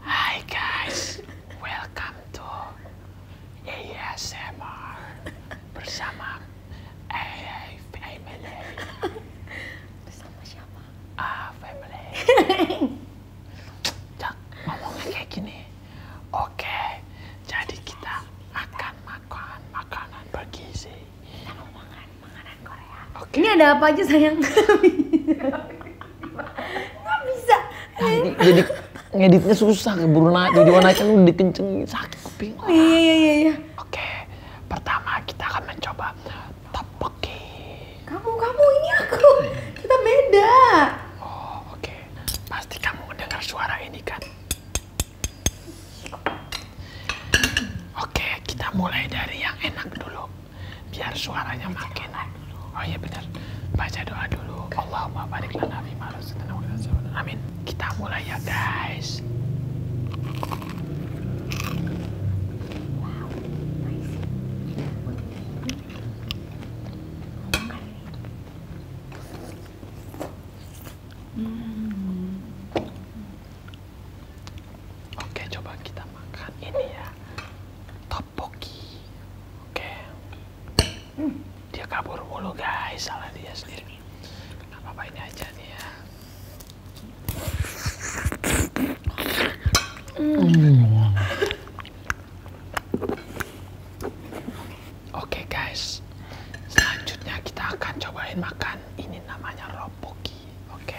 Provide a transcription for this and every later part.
Hi guys, welcome to ASMR bersama AA Family. Bersama siapa? Ah, Family. Cak, ngomongnya kayak gini. Oke, jadi kita akan makan makanan bergizi. Kita mau Korea. Ini ada apa aja sayang? Nggak bisa jadi, ngeditnya susah buru Bruno jadi warna kan udah dikencengin sakit kuping oh, iya iya iya oke pertama kita akan mencoba topoki. kamu kamu ini aku kita beda oh oke pasti kamu mendengar suara ini kan oke okay, kita mulai dari yang enak dulu biar suaranya baca makin naik. Oh iya benar. Baca doa dulu. Allahumma barik lana fi ma Amin. Kita mulai ya guys. Oke, coba kita makan ini ya. Topoki. Oke. dia kabur mulu guys, salah dia sendiri. Gak apa-apa ini aja nih ya. Oke guys, selanjutnya kita akan cobain makan ini namanya roboki. Oke.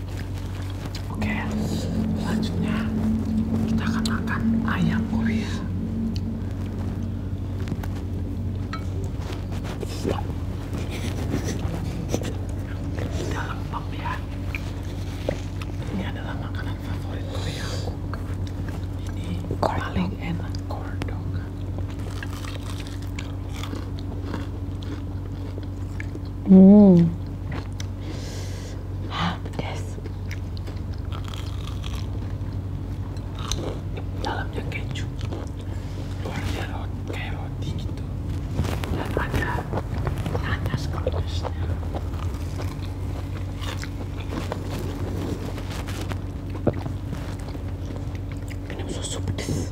Oke, selanjutnya kita akan makan ayam Korea. Tidak ya. Ini adalah makanan favorit Korea Ini paling enak kordok. Hmm. Ah, pedas. Dalamnya keju. Luarnya roti, kayak roti gitu. Dan ada nanas kronisnya. Minum susu pedas.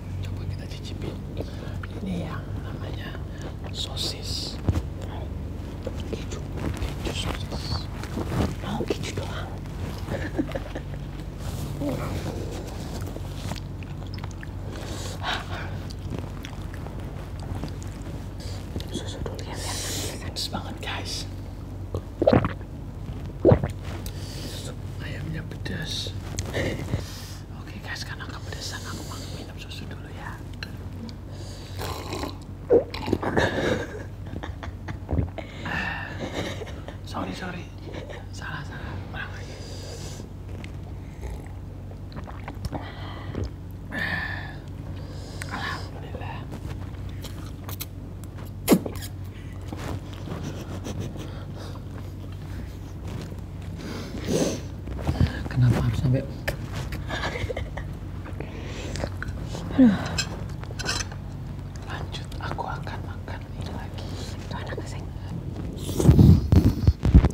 coba kita cicipin ini yang namanya sosis keju keju sosis mau keju doang susu ya banget guys ayamnya pedas Oke guys, karena kamu kepedesan aku mau minum susu dulu ya. sorry sorry, salah salah, ulang lagi. Alhamdulillah. Kenapa harus sampai Lanjut, aku akan makan ini lagi. Itu anak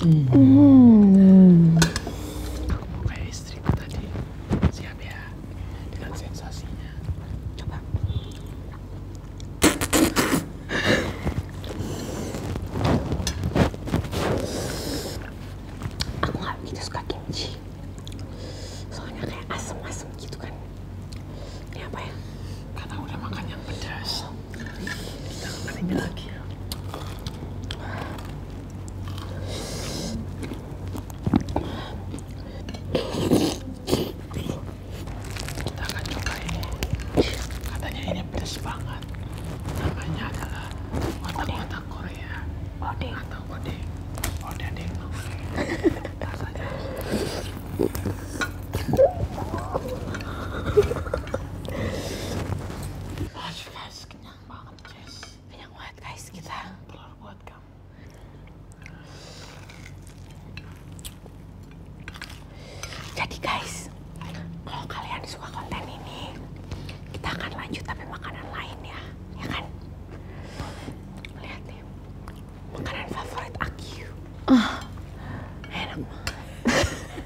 Hmm. kayak istriku tadi. Siap ya dengan sensasinya. Coba aku nggak begitu suka kimchi soalnya kayak asem-asem gitu kan ini apa ya karena udah makan yang pedas kita makan ini lagi ya? kita akan coba ini katanya ini pedas banget namanya adalah otak-otak Korea odeng atau odeng odeng deng rasanya kenyang banget kenyang banget guys kita telur buat kamu jadi guys, kalau kalian suka konten ini, kita akan lanjut tapi makanan lain ya, ya kan? Lihat nih, makanan favorit aku. Uh. Enak banget.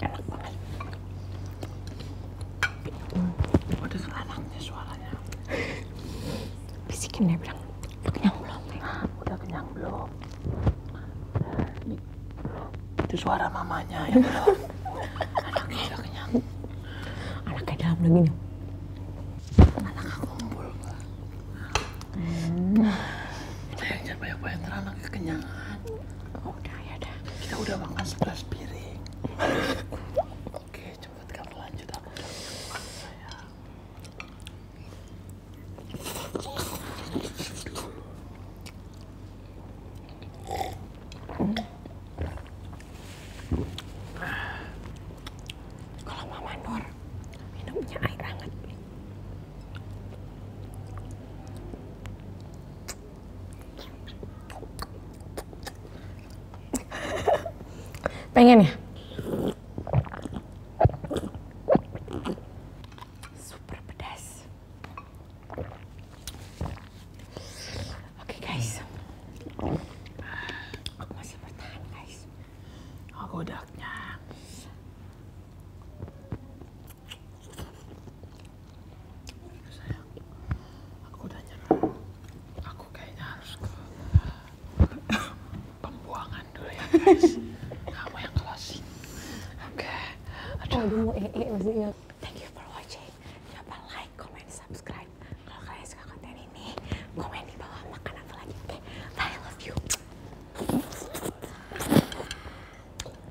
enak banget hmm. udah kenyang belum? Ah, udah kenyang belum? itu suara mamanya ya belum dalam lagi nih anak aku ngumpul hmm. jangan banyak-banyak kekenyangan udah ya dah kita udah makan sebelas piring oke cepet kamu lanjut aku kalau Mama Nur minumnya air hangat Pengen ya? Super pedas. Oke guys. Aku masih bertahan guys. Aku oh, aku udah nyerah. Aku kayaknya harus ke pembuangan dulu ya guys. Kamu yang closing. Oke. Okay. Aduh. Aduh mau ee maksudnya. Thank you for watching. Jangan lupa like, comment, subscribe. Kalau kalian suka konten ini, komen di bawah makan apa lagi. Oke, I love you.